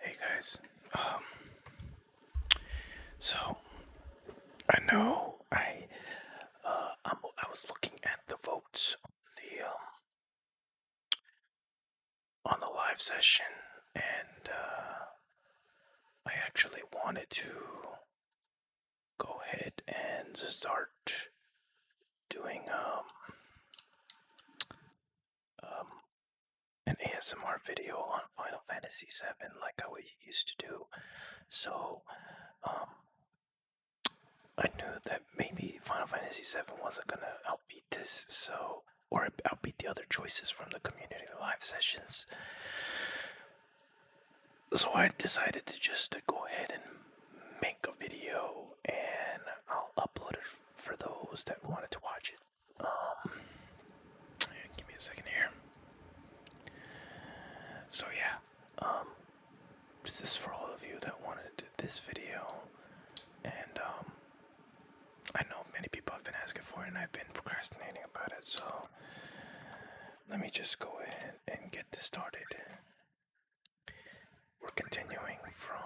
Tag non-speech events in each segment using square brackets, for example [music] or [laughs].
Hey guys, um, so I know I uh, i was looking at the votes on the um, on the live session, and uh, I actually wanted to go ahead and start doing um, um, an ASMR video on Final Fantasy VII, like I used to do. So um, I knew that maybe Final Fantasy VII wasn't gonna outbeat this, so or outbeat the other choices from the community live sessions. So I decided to just go ahead and make a video and I'll upload it for those that wanted to watch it. Um, give me a second here. So yeah, um, this is for all of you that wanted this video, and um, I know many people have been asking for it, and I've been procrastinating about it. So let me just go ahead and get this started. We're continuing from.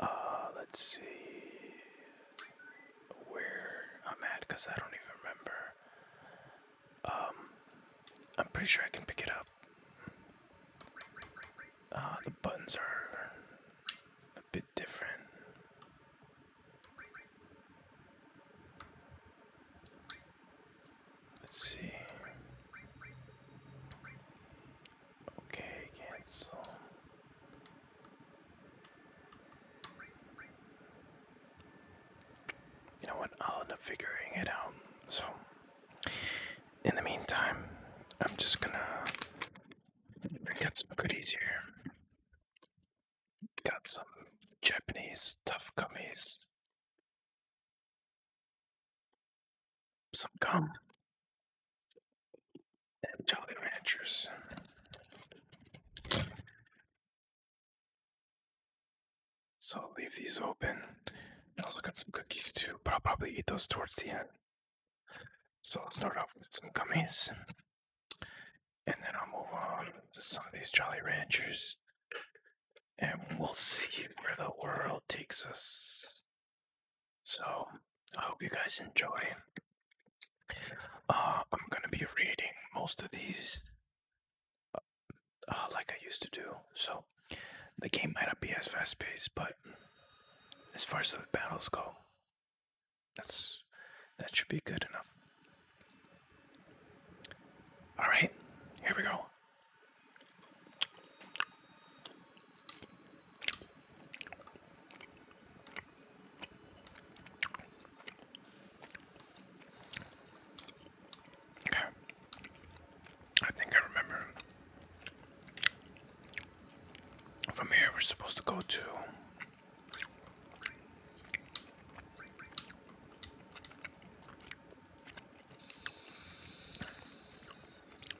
Uh, let's see where I'm at because I don't even remember. Um, I'm pretty sure I can pick it up. Uh, the buttons are a bit different. Let's see. Okay, cancel. You know what? I'll end up figuring it out. So, in the meantime, I'm just gonna get some goodies here. Got some Japanese tough gummies some gum and Jolly Ranchers. So I'll leave these open. I also got some cookies too, but I'll probably eat those towards the end. So I'll start off with some gummies. And then I'll move on to some of these Jolly Ranchers and we'll see where the world takes us. So, I hope you guys enjoy. Uh, I'm gonna be reading most of these uh, uh, like I used to do, so the game might not be as fast paced, but as far as the battles go, that's that should be good enough. All right, here we go. Okay. I think I remember. From here, we're supposed to go to.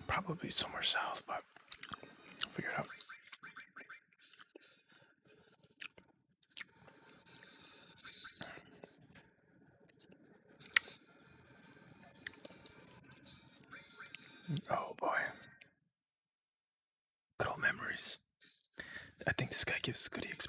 Probably somewhere south, but I'll figure it out. Oh boy. Good old memories. I think this guy gives good exp.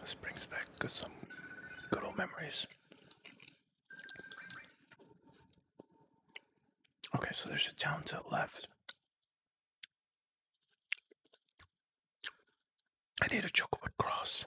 This brings back some good old memories. Okay, so there's a town to the left. I need a chocolate cross.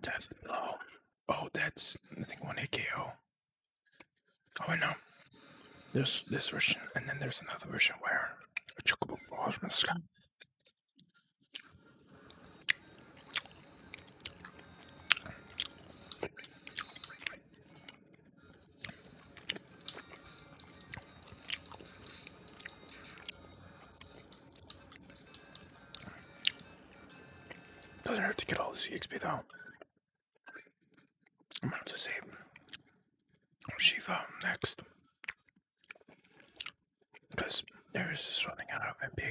Death oh, blow. Oh, that's I think one hit KO. Oh, I know. There's this version, and then there's another version where a chocobo falls from the sky. Doesn't hurt to get all the CXP though. I'm gonna have save oh, Shiva next. Because there is running out of MP.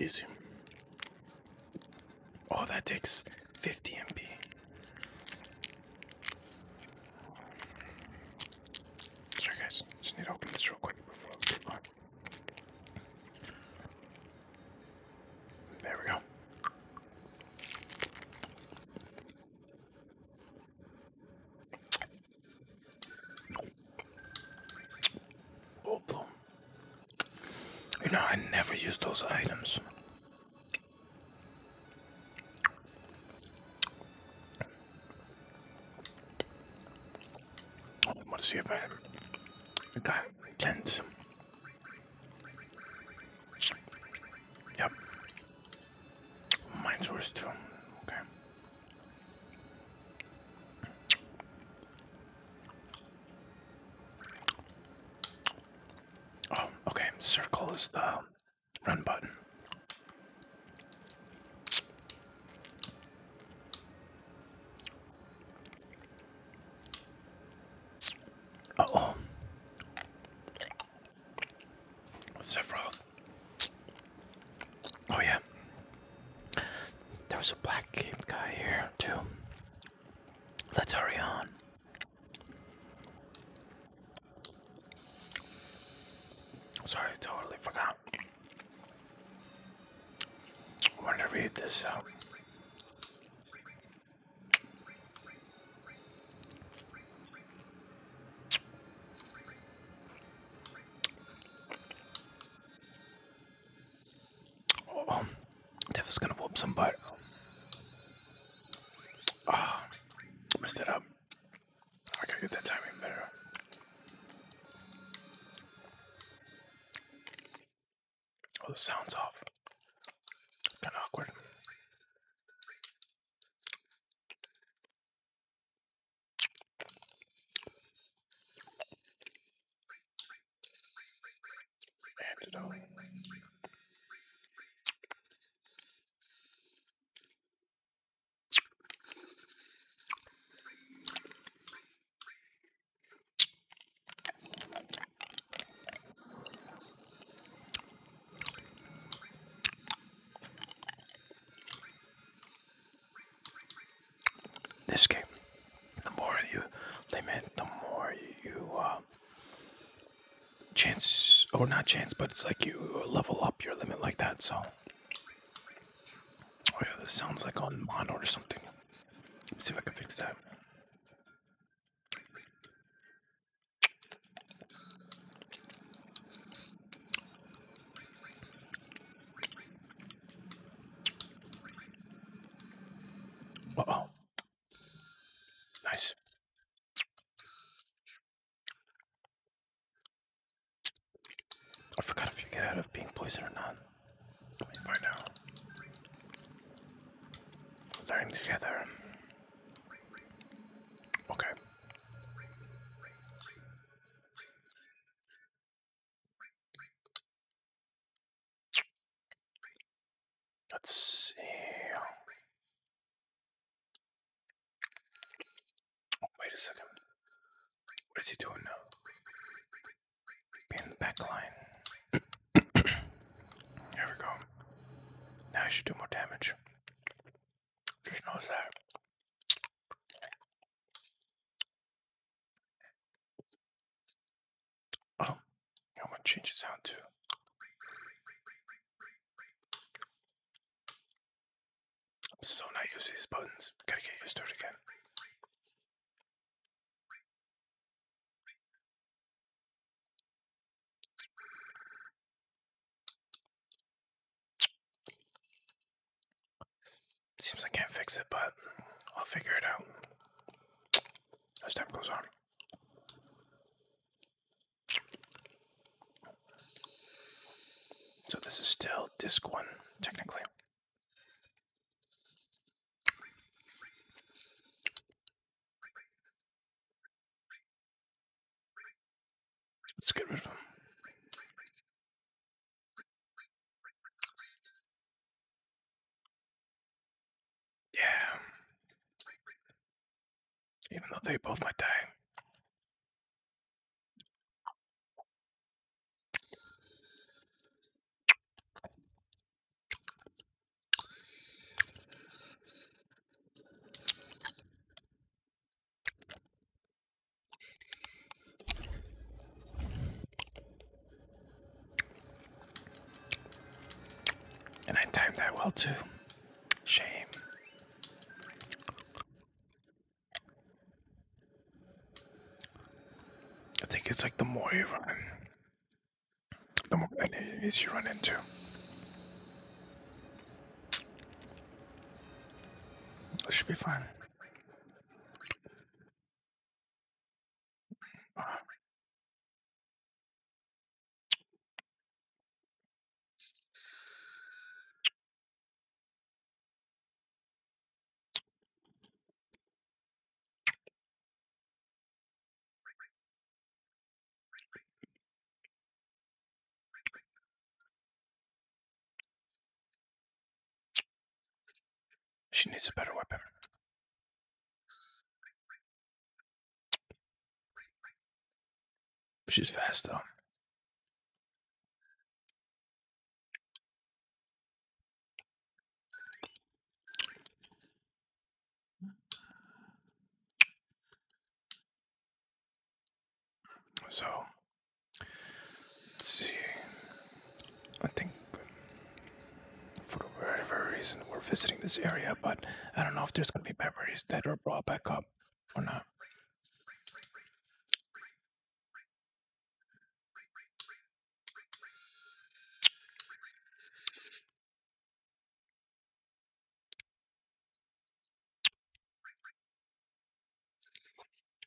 Easy. Oh, that takes 50 MP. Sorry guys, just need to open this real quick before we There we go. Oh, bloom. You know, I never use those items. I want to see if I have got tens. Yep. Mine's worse too. Okay. Oh, okay. Circle is the run button. Uh oh. Sephiroth. Oh yeah. There was a black cape guy here too. Let's hurry on. Sorry, totally forgot I want to read this out. Oh, Tiff is gonna whoop some butt. Oh, messed it up. I gotta get that timing better. Oh, the sound's off. Kind of awkward. And it all. This game, the more you limit, the more you uh, chance or not chance, but it's like you level up your limit like that. So Oh yeah, this sounds like on mono or something. Let's see if I can fix that. oh. Nice. I forgot if you get out of being poisoned or not. Let me find out. Learning together. Okay. Let's see. Wait a second. What is he doing now? Be in the back [clears throat] there we go. Now I should do more damage. Just knows that. Oh, I'm to change the sound too so not used to these buttons. Gotta get used to it again. Seems I can't fix it, but I'll figure it out as time goes on. So this is still disc one, technically. Let's get rid of them. Yeah. Even though they both might die. And I timed that well too. Shame. I think it's like the more you run, the more enemies you run into. It should be fine. She needs a better weapon. She's fast though. So, see. I think for whatever reason we're visiting this area, but I don't know if there's gonna be memories that are brought back up or not.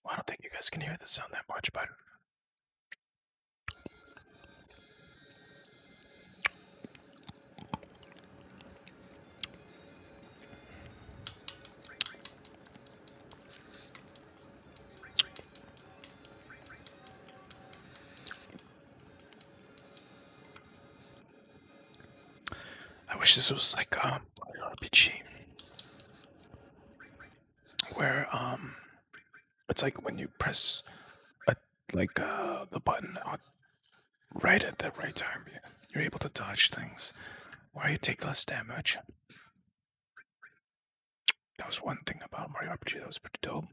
I don't think you guys can hear the sound that much, but I wish this was like a um, an RPG where um, it's like when you press like uh, the button right at the right time, you're able to dodge things, where you take less damage that was one thing about Mario RPG that was pretty dope.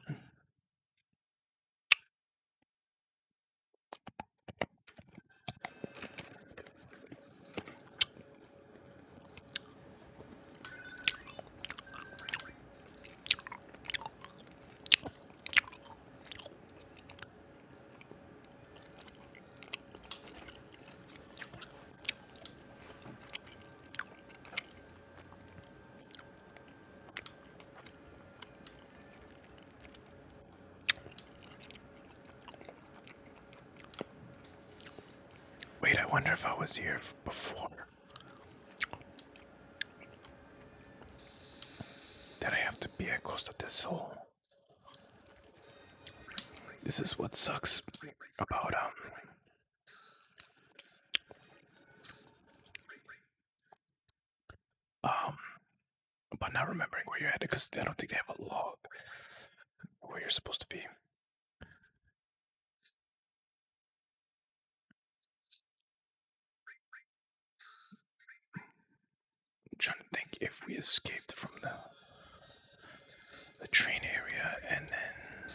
Wait, I wonder if I was here before. Did I have to be at close to this hole? This is what sucks about um, um, but not remembering where you're at because I don't think they have a log where you're supposed to be. trying to think if we escaped from the the train area and then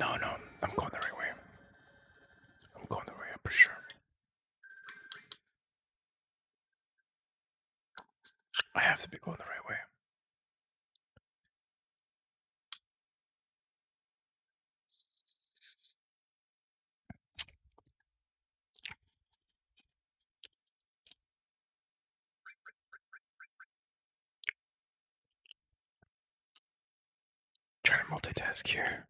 no no I'm going the right way I'm going the right way I'm pretty sure I have to be going the right way Try to multitask here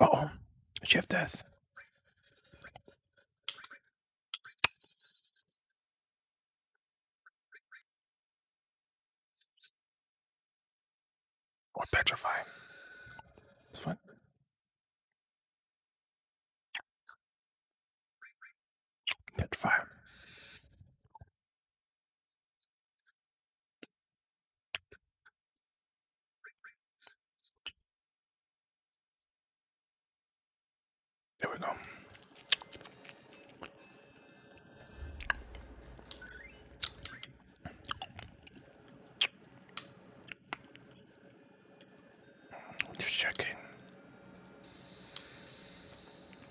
oh, Chef Death. Or petrify. It's Petrify. There we go. Just checking.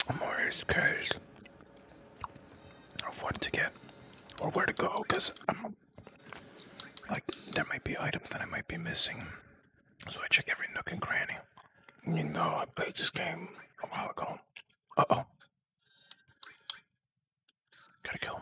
I'm of what to get or where to go because I'm like there might be items that I might be missing. So I check every nook and cranny. You know, I played this game a while ago. Uh oh. Gotta kill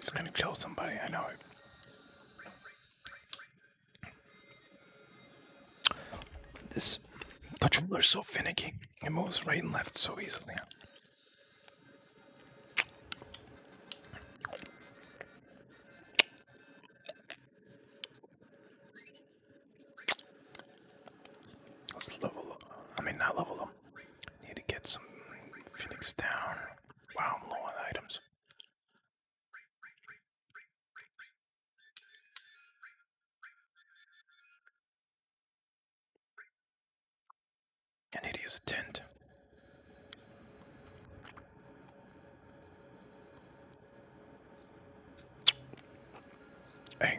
he's gonna kill somebody. I know it. This controller's so finicky. It moves right and left so easily. Let's level up. I mean, not level them. Need to get some Phoenix down. Wow, I'm low on items. I need to use a tent. Hey.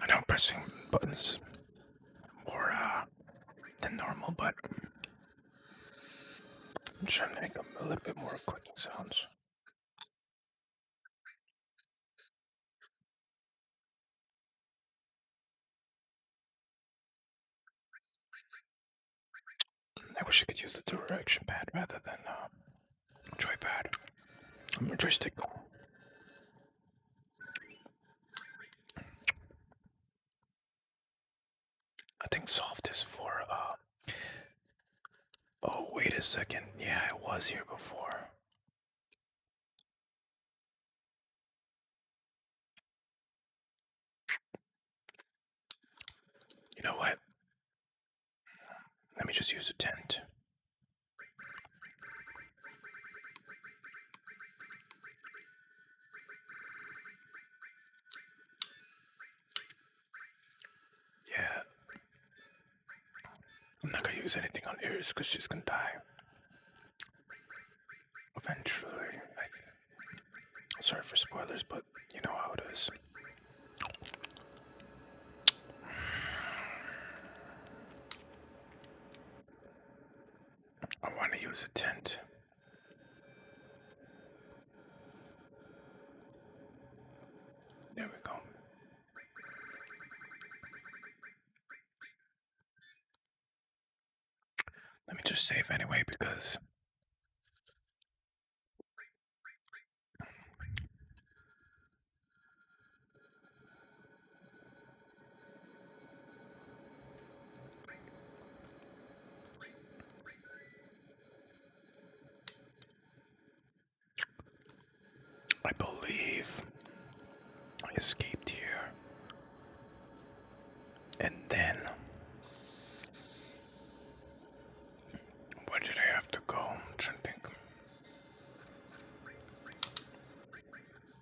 I know pressing buttons more uh, than normal, but I'm trying to make them a little bit more clicking sounds. I wish I could use the direction pad rather than uh, a joystick. I think soft is for uh, Oh, wait a second. Yeah, I was here before. You know what? Let me just use a tent. Yeah. I'm not gonna use anything on Iris because she's gonna die. Eventually, sorry for spoilers, but you know how it is. I want to use a tent. There we go. Let me just save anyway because I believe I escaped here and then where did I have to go? to think.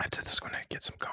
After this, I'm gonna get some gum.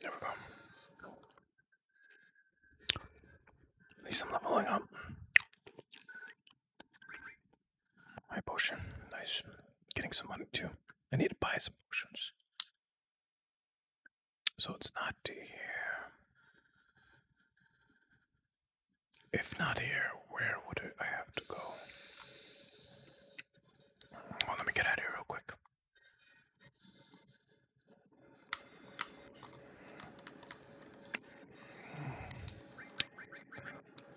There we go. At least I'm leveling up. My potion. Nice. Getting some money too. I need to buy some potions. So it's not here. If not here, where would I have to go? let me get out of here real quick.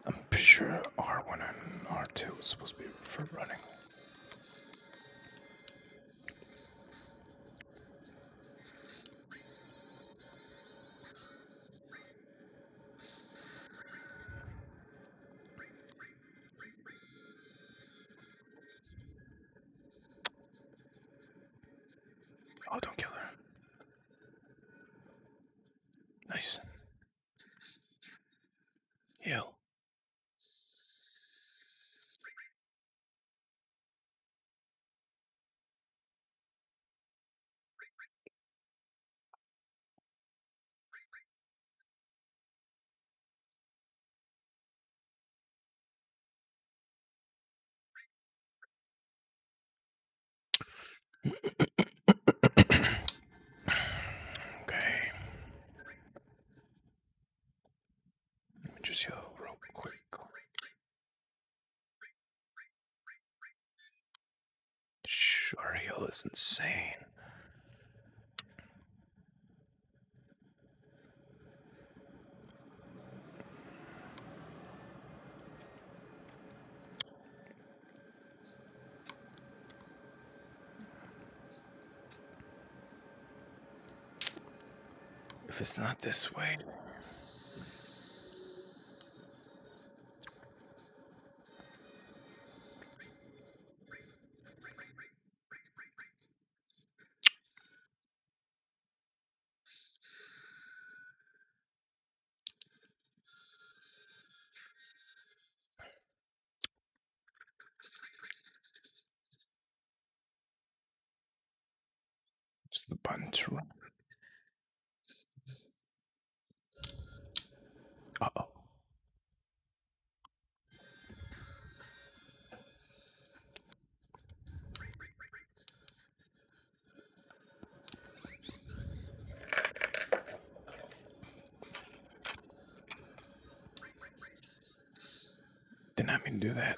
I'm pretty sure R1 and R2 is supposed to be for running. Oh, don't kill her. Nice. Heal okay. Let me just yell real quick. Shh, is insane. If it's not this way, it's the button to run. Uh oh. Did not mean to do that.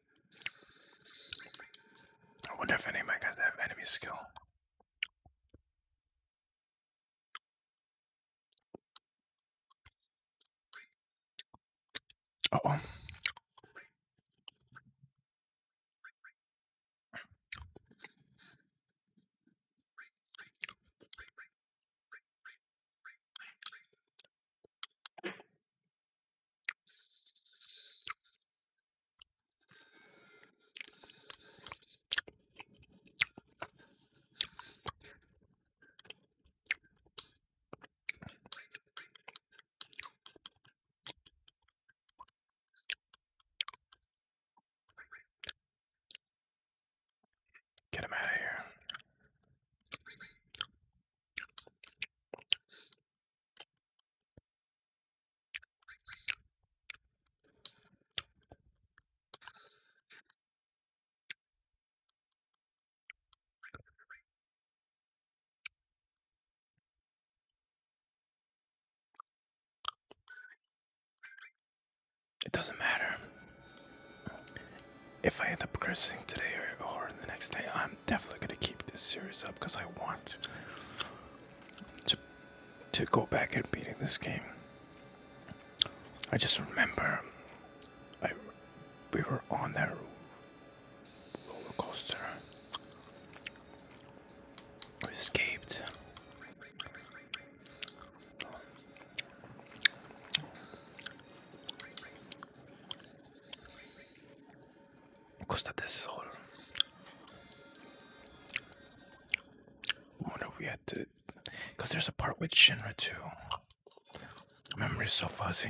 I wonder if any of my guys have enemy skill. oh. Get him out of here. It doesn't matter if I end up cursing today or, the next day. I am I'm definitely gonna keep this series up because I want to to go back and beating this game. I just remember I we were on that roller coaster. We escaped. Costa del Sol. What if we had Because there's a part with Shinra too. My memory's so fuzzy.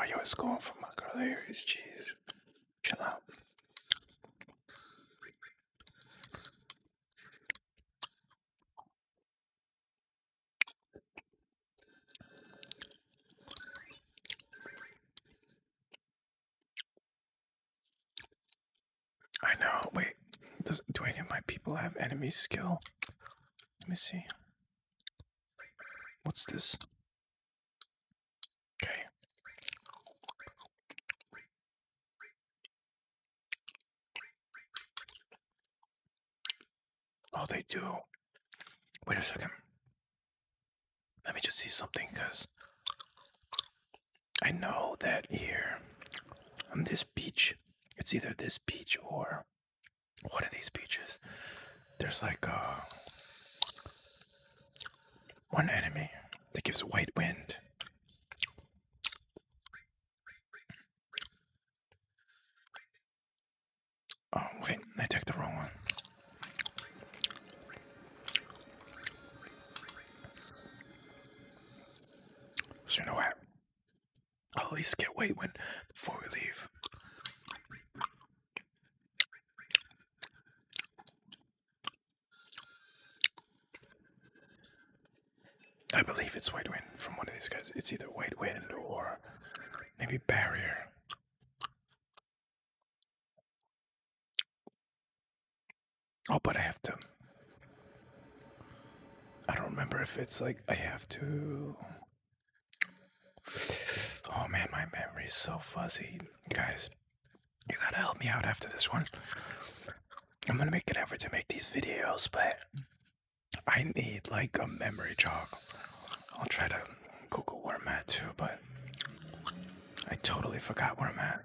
Oh, yo, it's going for my girl there is cheese. Chill out. I know. Wait, does do any of my people have enemy skill? Let me see. What's this? Okay. Oh, they do. Wait a second. Let me just see something, cause I know that here on this beach, it's either this beach or what are these beaches. There's like uh, one enemy that gives white wind. Oh, wait, I took the wrong one. So you know what? I'll at least get weight when before we leave. I believe it's White Wind from one of these guys. It's either White Wind or maybe Barrier. Oh, but I have to. I don't remember if it's like I have to. Oh man, my memory is so fuzzy. Guys, you gotta help me out after this one. I'm gonna make an effort to make these videos, but I need like a memory jog. I'll try to Google where I'm at too, but I totally forgot where I'm at.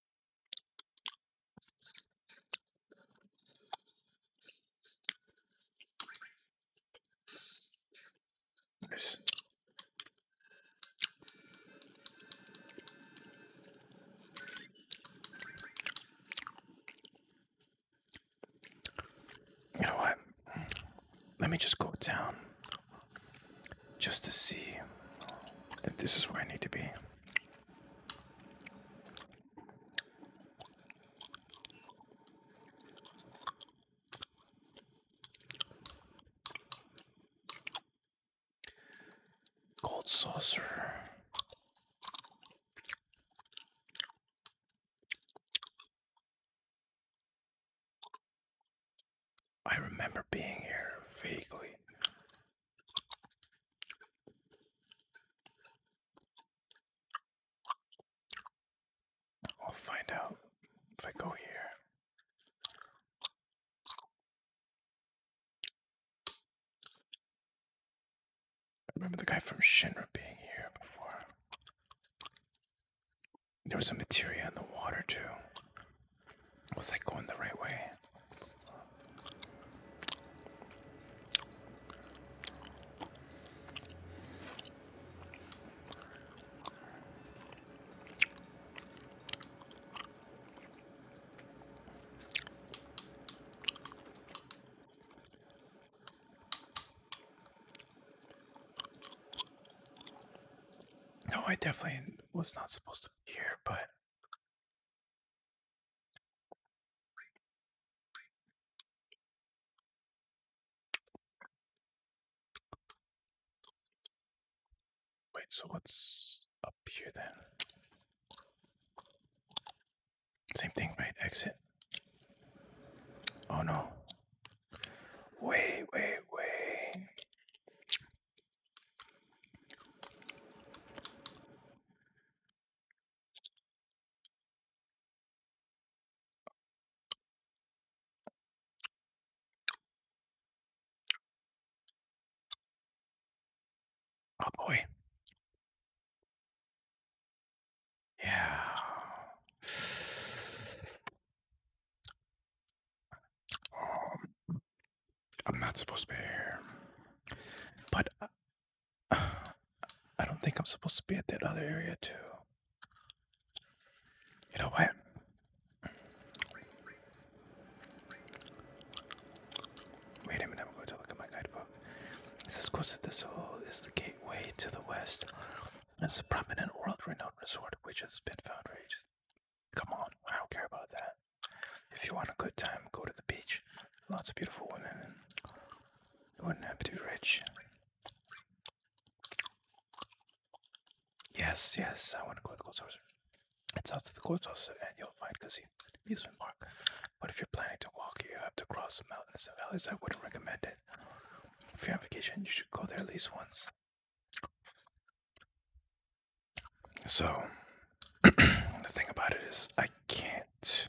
You know what? Let me just go down just to see if this is where I need to be. Gold saucer. I remember being here vaguely. I'll find out if I go here. I remember the guy from Shinra being here before. There was some materia in the water too. Was I going the right way? No, I definitely was not supposed to be here, but Wait, so what's up here then? Same thing, right? Exit. Oh no. Wait, wait, wait. Oh boy. Yeah. Um, I'm not supposed to be here, but uh [sighs] I don't think I'm supposed to be at that other area too. You know what? Wait a minute, I'm going to look at my guidebook. It says Costa del Sol is the gateway to the west. It's a prominent world-renowned resort which has been found for ages. Come on, I don't care about that. If you want a good time, go to the beach lots of beautiful women, and you wouldn't have to be rich. Yes, yes, I want to go to the gold It's out to the gold and you'll find Kazim amusement park. But if you're planning to walk, you have to cross mountains and valleys. I wouldn't recommend it. If you're on vacation, you should go there at least once. So, [clears throat] the thing about it is, I can't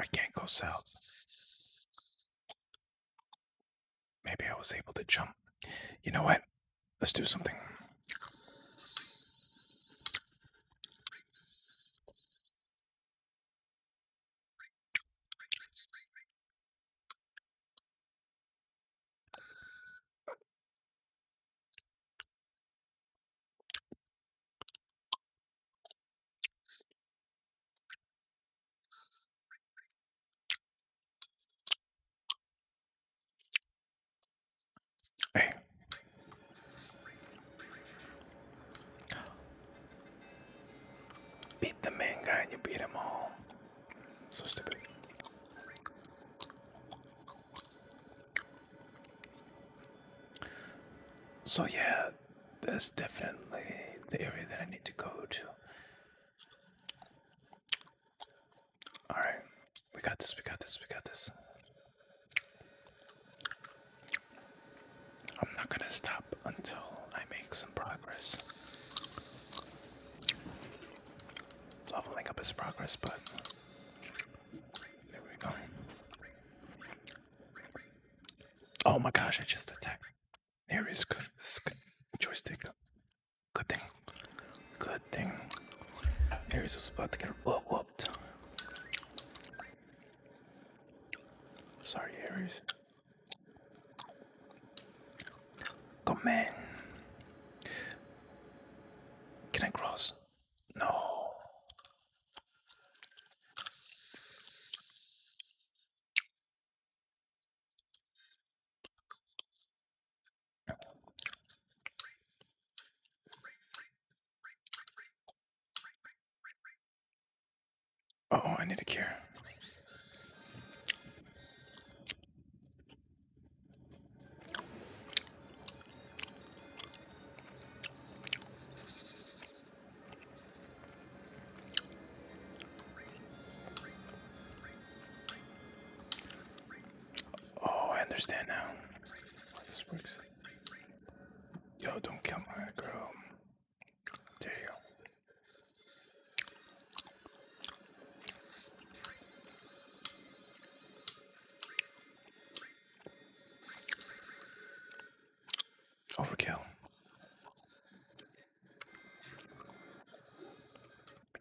I can't go south. Maybe I was able to jump. You know what? Let's do something. Hey. Beat the main guy and you beat him all. So stupid. So yeah, that's definitely the area that I need to go to. All right, we got this. We got this. We got this. I'm not gonna stop until I make some progress leveling up his progress, but there we go. Oh my gosh, I just attacked. Aries. good, joystick. Good thing. Good thing. Aries was about to get whooped. Sorry, Aries. Come in. Can I cross? No. oh, I need a cure. Oh, I understand now how this works. Yo, don't kill my girl. There you go. Overkill.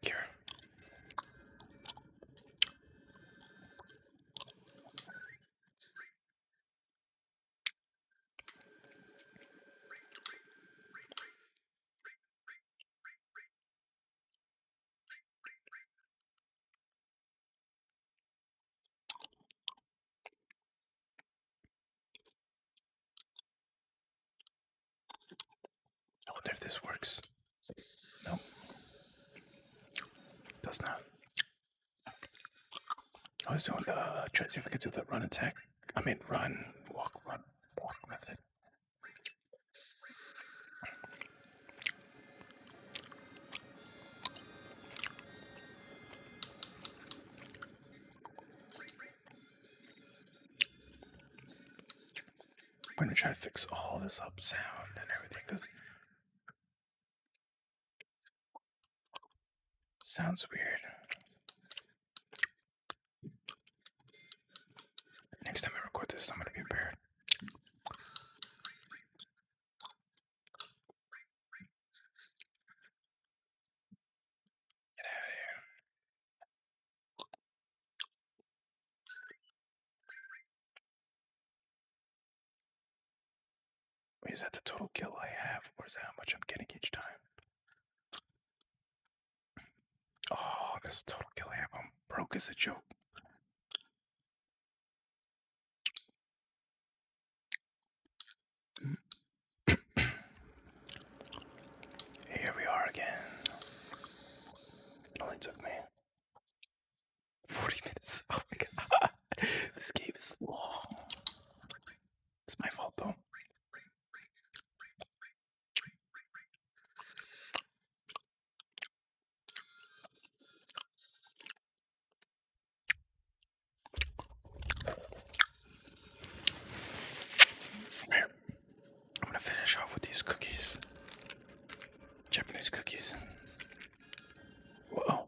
Cure. I wonder if this works. No, does not. I was doing uh, trying to see if I could do the run attack. I mean, run, walk, run, walk method. I'm gonna try to fix all this up sound and everything because sounds weird. Next time I record this, I'm gonna be prepared. Get is that the total kill I have, or is that how much I'm getting each time? Oh, that's total kill amp. I'm broke is a joke. Here we are again. only took me 40 minutes. [laughs] Oh my god. This game is long. It's my fault though. I'm gonna finish off with these cookies. Japanese cookies. Whoa.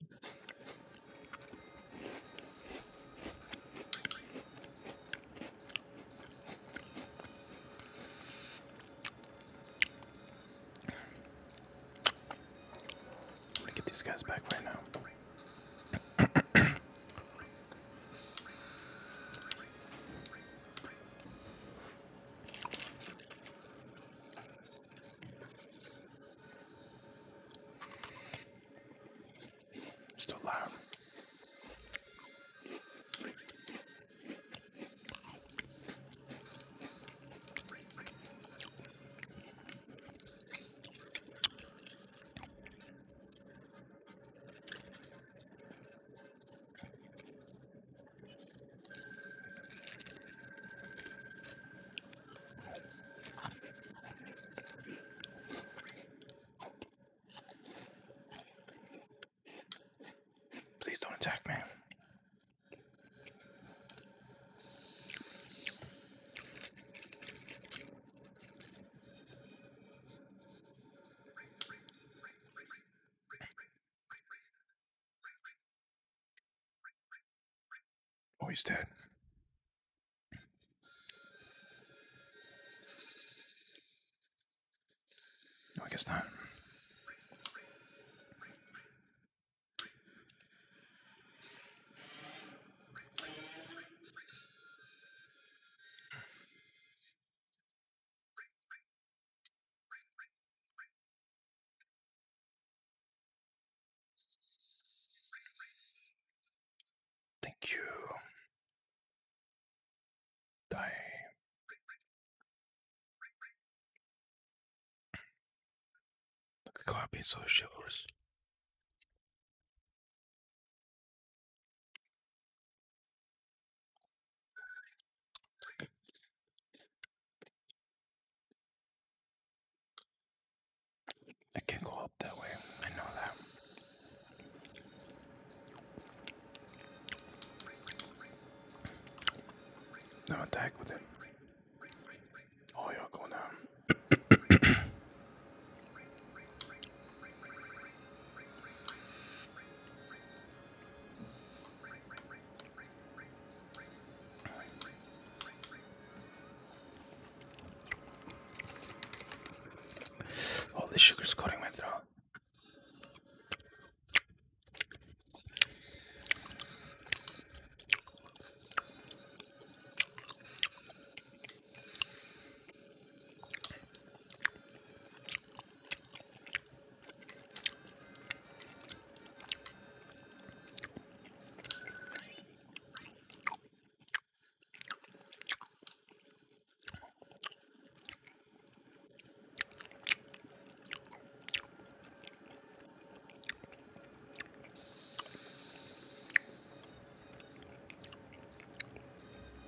I'm gonna get these guys back right now. Still loud. Please don't attack, man. Oh, he's dead. No, I guess not. Thank you. Die. Look at Cloud so chivalrous. I can't go up that way. I know that. No attack with it. Oh, y'all going down. All oh, the sugar's cutting my throat.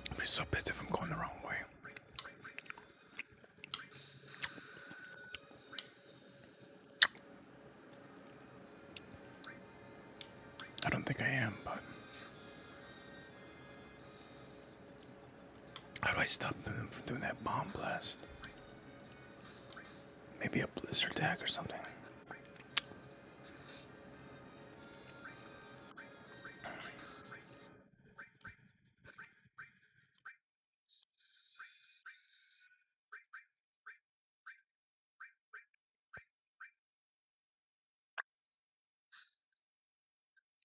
I'd be so pissed if I'm going the wrong way. I don't think I am, but. How do I stop him from doing that bomb blast? Maybe a blizzard attack or something.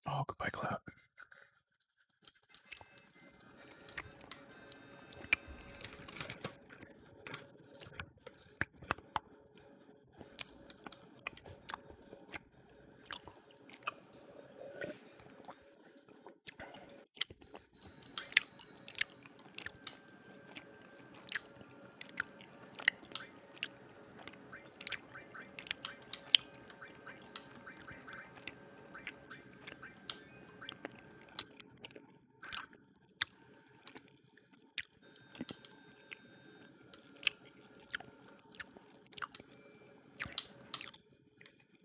Oh, goodbye, Cloud.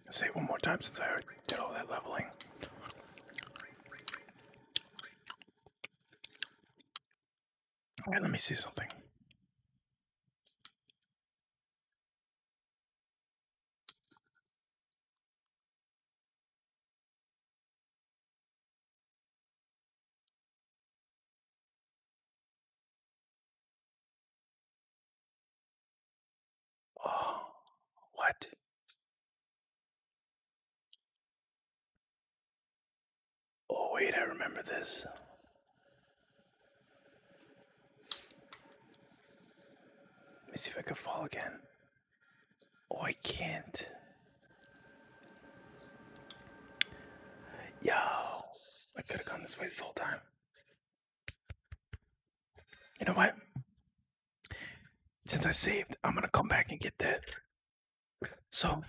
Say it one more time since I did all that leveling. Okay, let me see something. Oh, what? Oh, wait, I remember this. Let me see if I can fall again. Oh, I can't. Yo, I could have gone this way this whole time. You know what? Since I saved, I'm gonna come back and get that. So,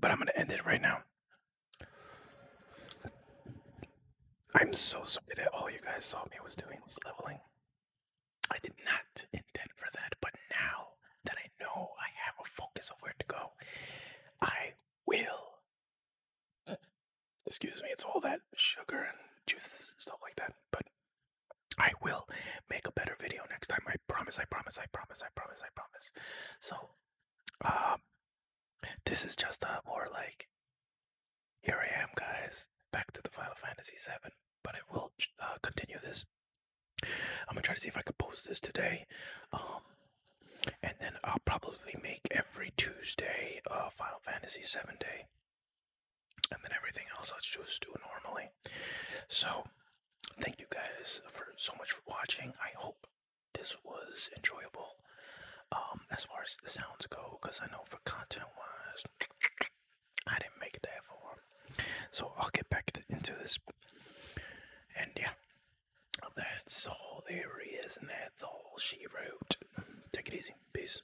but I'm gonna end it right now. I'm so sorry that all you guys saw me was doing was leveling. I did not intend for that, but now that I know I have a focus of where to go, I will. Excuse me, it's all that sugar and juices and stuff like that, but I will make a better video next time. I promise, I promise, I promise, I promise, I promise. So, um, this is just a uh, more like, here I am, guys, back to the Final Fantasy VII, but I will uh, continue this. I'm gonna try to see if I could post this today. Um, and then I'll probably make every Tuesday a Final Fantasy VII day and then everything else I'll just do normally. So, thank you guys for so much for watching. I hope this was enjoyable um, as far as the sounds go, because I know for content wise, I didn't make it that far. So, I'll get back into this. And yeah, that's all there is, and that's all she wrote. Take it easy. Peace.